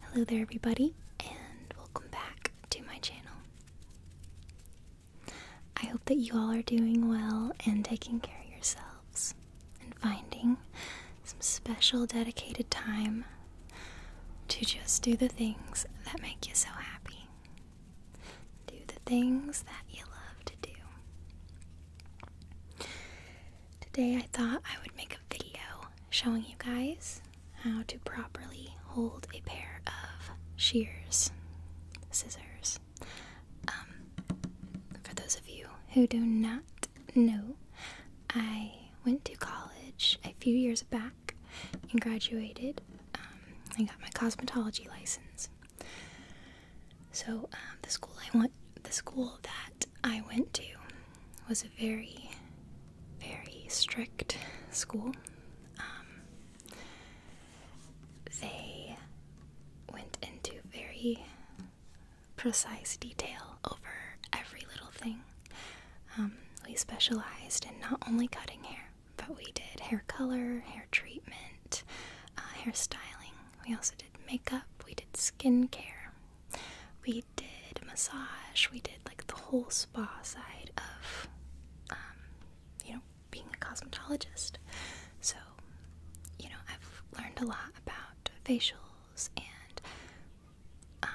Hello there, everybody, and welcome back to my channel. I hope that you all are doing well and taking care of yourselves and finding some special dedicated time to just do the things that make you so happy. Do the things that you love to do. Today I thought I would make a video showing you guys how to properly hold a pair of shears, scissors. Um, for those of you who do not know, I went to college a few years back and graduated. I um, got my cosmetology license. So um, the school I went, the school that I went to was a very, very strict school. Um, they went into very precise detail over every little thing. Um, we specialized in not only cutting hair, but we did hair color, hair treatment, uh, hairstyling. We also did makeup, we did skin care, we did massage. We did like the whole spa side of, um, you know, being a cosmetologist. So, you know, I've learned a lot about facials and um,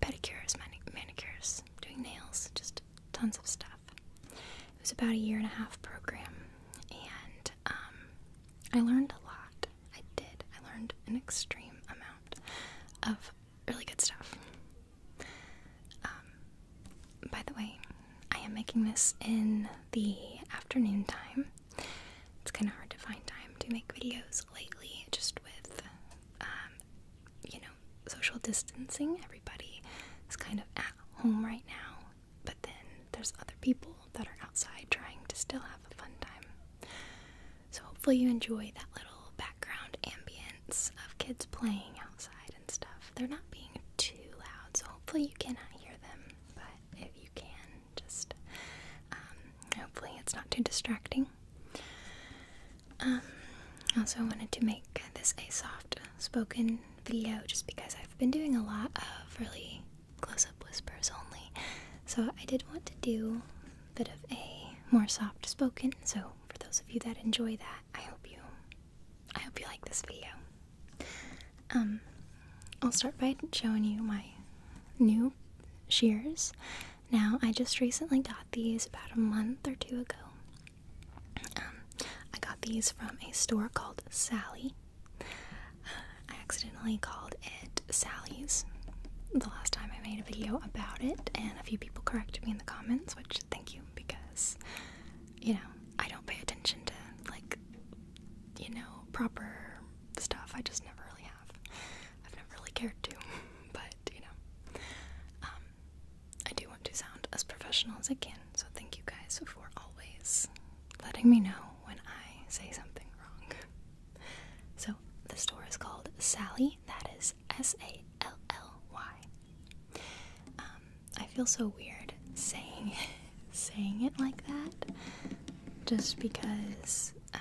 pedicures, manicures, doing nails, just tons of stuff. It was about a year and a half program, and um, I learned a lot. I did. I learned an extreme amount of really good stuff. Um, by the way, I am making this in the afternoon time. It's kind of hard to find time to make videos lately, just with, um, you know, social distancing. Everybody is kind of at home right now, but then there's other people that are outside trying to still have a fun time. So, hopefully, you enjoy that little background ambience of kids playing outside and stuff. They're not being too loud, so hopefully, you cannot hear them. But if you can, just um, hopefully, it's not too distracting. Um, also, I wanted to make this a soft spoken video just because I've been doing a lot of really close up whispers only. So I did want to do a bit of a more soft spoken. So for those of you that enjoy that, I hope you I hope you like this video. Um I'll start by showing you my new shears. Now I just recently got these about a month or two ago. Um, I got these from a store called Sally. I accidentally called it Sally's the last time I made a video about it, and a few people corrected me in the comments, which thank you because you know I don't pay attention to like you know proper stuff. I just never really have. I've never really cared to, but you know. Um, I do want to sound as professional as I can, so thank you guys for always letting me know when I say something wrong. So the store is called Sally. That is S L L Y. Um, I feel so weird saying saying it like that, just because uh,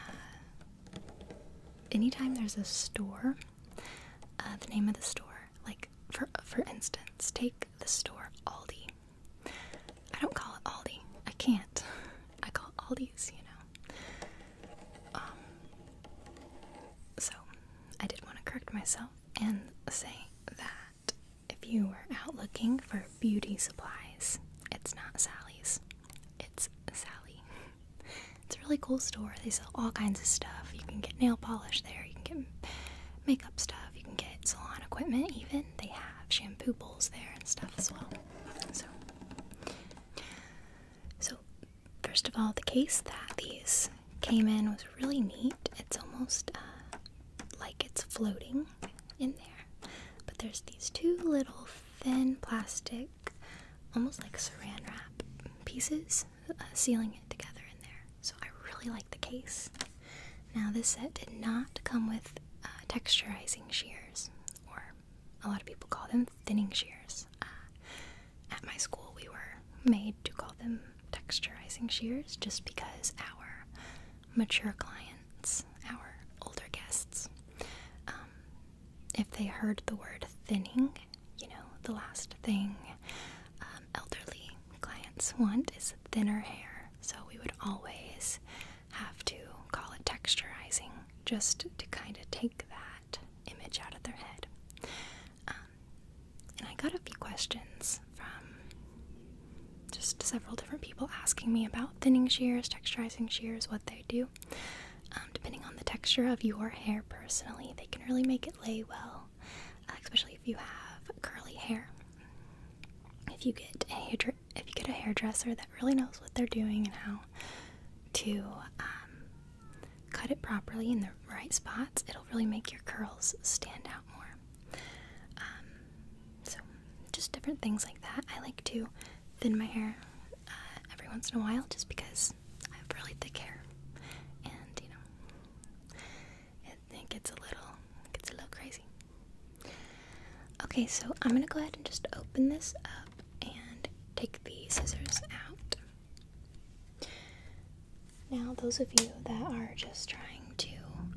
anytime there's a store, uh, the name of the store, like for for instance, take the store Aldi. I don't call it Aldi. I can't. I call it Aldi's, you know. Um, so, I did want to correct myself and say that if you were out looking for beauty supplies, it's not Sally's. It's Sally. It's a really cool store. They sell all kinds of stuff. You can get nail polish there. You can get makeup stuff. You can get salon equipment even. They have shampoo bowls there and stuff as well. So, so first of all, the case that these came in was really neat. It's almost uh, like it's floating in there, but there's these two little thin plastic, almost like saran wrap pieces, uh, sealing it together in there. So I really like the case. Now this set did not come with uh, texturizing shears or a lot of people call them thinning shears. Uh, at my school, we were made to call them texturizing shears just because our mature clients, our older guests, um, if they heard the word thinning, you know, the last thing um, elderly clients want is thinner hair. So we would always have to call it texturizing just to kind of take that image out of their head. Um, and I got a few questions from just several different people asking me about thinning shears, texturizing shears, what they do. Um, depending on the texture of your hair personally, they can really make it lay well, uh, especially if you have curly hair. If you get a if you get a hairdresser that really knows what they're doing and how to um, cut it properly in the right spots, it'll really make your curls stand out more. Um, so, just different things like that. I like to thin my hair uh, every once in a while just because I have really thick hair, and you know, it, it gets a little, it gets a little crazy. Okay, so I'm gonna go ahead and just open this up and take the scissors out. Now, those of you that are just trying to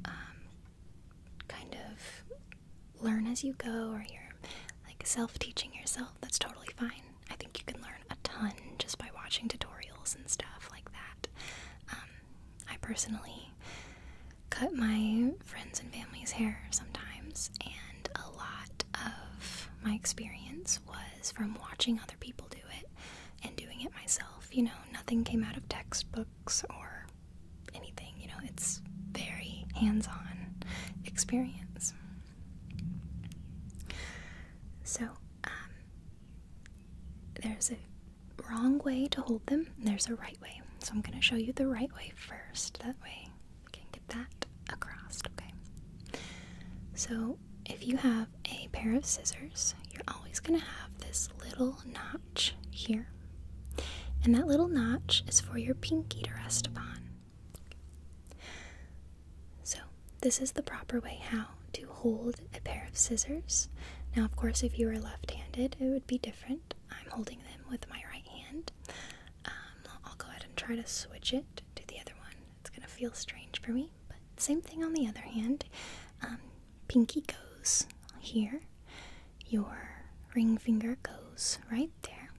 um, kind of learn as you go, or you're like self teaching yourself, that's totally fine. I think you can learn a ton just by watching tutorials and stuff like that. Um, I personally cut my friends and family's hair sometimes, and a lot of my experience was from watching other people do it and doing it myself. You know, nothing came out of textbooks or anything, you know, it's very hands on experience. So, um, there's a wrong way to hold them, there's a right way. So I'm going to show you the right way first. That way can get that across, okay? So if you have a pair of scissors, you're always going to have this little notch here. And that little notch is for your pinky to rest upon. So this is the proper way how to hold a pair of scissors. Now, of course, if you are left handed, it would be different. I'm holding them with my right hand. Um, I'll go ahead and try to switch it to the other one. It's going to feel strange for me, but same thing on the other hand. Um, pinky goes here, your ring finger goes right there,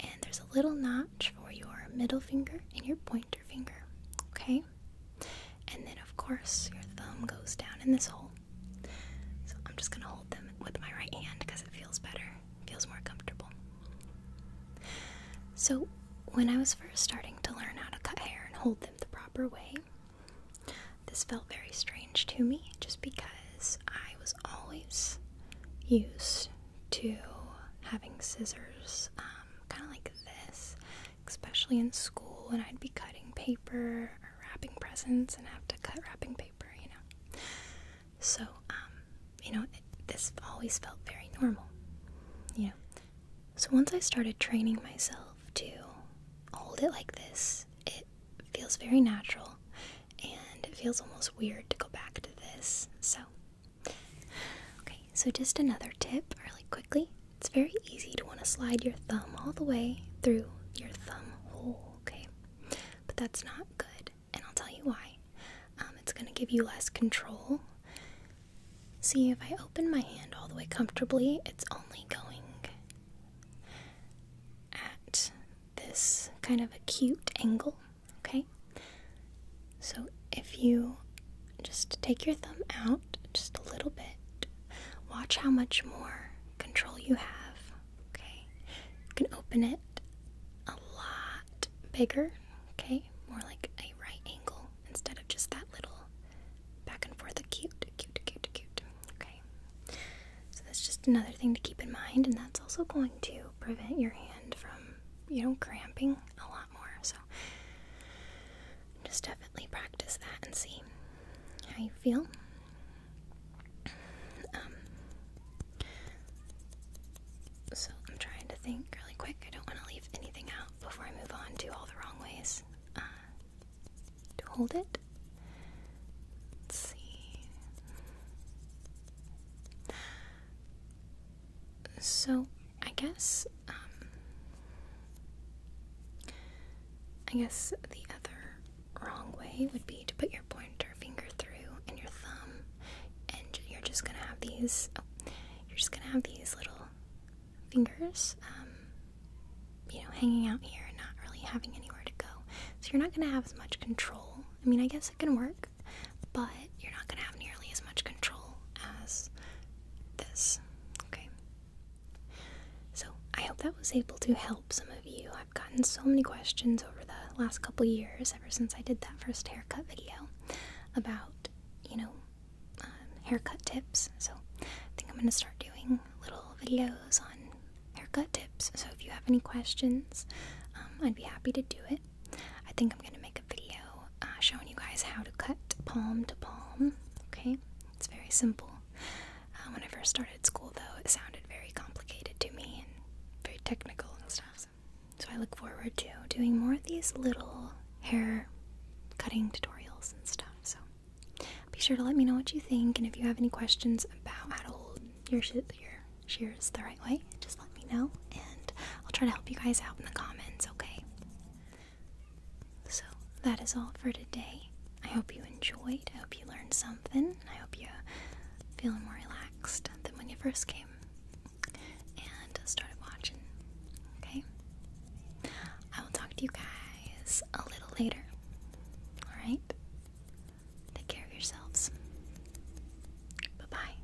and there's a little notch for your middle finger and your pointer finger. Okay? And then, of course, your thumb goes down in this hole. So I'm just gonna hold them with my right hand because it feels better, feels more comfortable. So when I was first starting to learn how to cut hair and hold them the proper way, this felt very strange to me just because I was always used to having scissors um, kind of like this, especially in school when I'd be cutting paper wrapping presents and have to cut wrapping paper, you know. So, um, you know, this always felt very normal, you know. So once I started training myself to hold it like this, it feels very natural and it feels almost weird to go back to this. So, okay, so just another tip really quickly it's very easy to want to slide your thumb all the way through your thumb hole, okay? But that's not good, and I'll tell you why. Um, it's going to give you less control. See, if I open my hand all the way comfortably, it's only going at this kind of acute angle, okay? So if you just take your thumb out, just a little bit. Watch how much more control you have. Okay, you can open it a lot bigger. Okay, more like a right angle instead of just that little back and forth. Cute, cute, cute, cute. Okay, so that's just another thing to keep in mind, and that's also going to prevent your hand from you know cramping a lot more. So just definitely practice that and see how you feel. Um, so I'm trying to think really quick. I don't want to leave anything out before I move on to all the wrong ways uh, to hold it. Let's see. So I guess um, I guess the other wrong way would be to put your pointer finger through and your thumb, and you're just gonna have these. Oh, you're just gonna have these little fingers, um, you know, hanging out here and not really having anywhere to go. So you're not gonna have as much control. I mean, I guess it can work, but you're not gonna have nearly as much control as this. Okay. So, I hope that was able to help some of you. I've gotten so many questions over the last couple years, ever since I did that first haircut video, about, you know, um, haircut tips. So, I think I'm going to start doing little videos on haircut tips. So, if you have any questions, um, I'd be happy to do it. I think I'm going to make a video uh, showing you guys how to cut palm to palm. Okay? It's very simple. Um, when I first started school, though, it sounded very complicated to me and very technical and stuff. So, I look forward to doing more of these little hair cutting tutorials and stuff. So be sure to let me know what you think, and if you have any questions about how to hold your sh your shears the right way, just let me know, and I'll try to help you guys out in the comments. Okay. So that is all for today. I hope you enjoyed. I hope you learned something. I hope you feel more relaxed than when you first came and started watching. Okay? I will talk to you guys a little later. Alright? Take care of yourselves. Bye bye.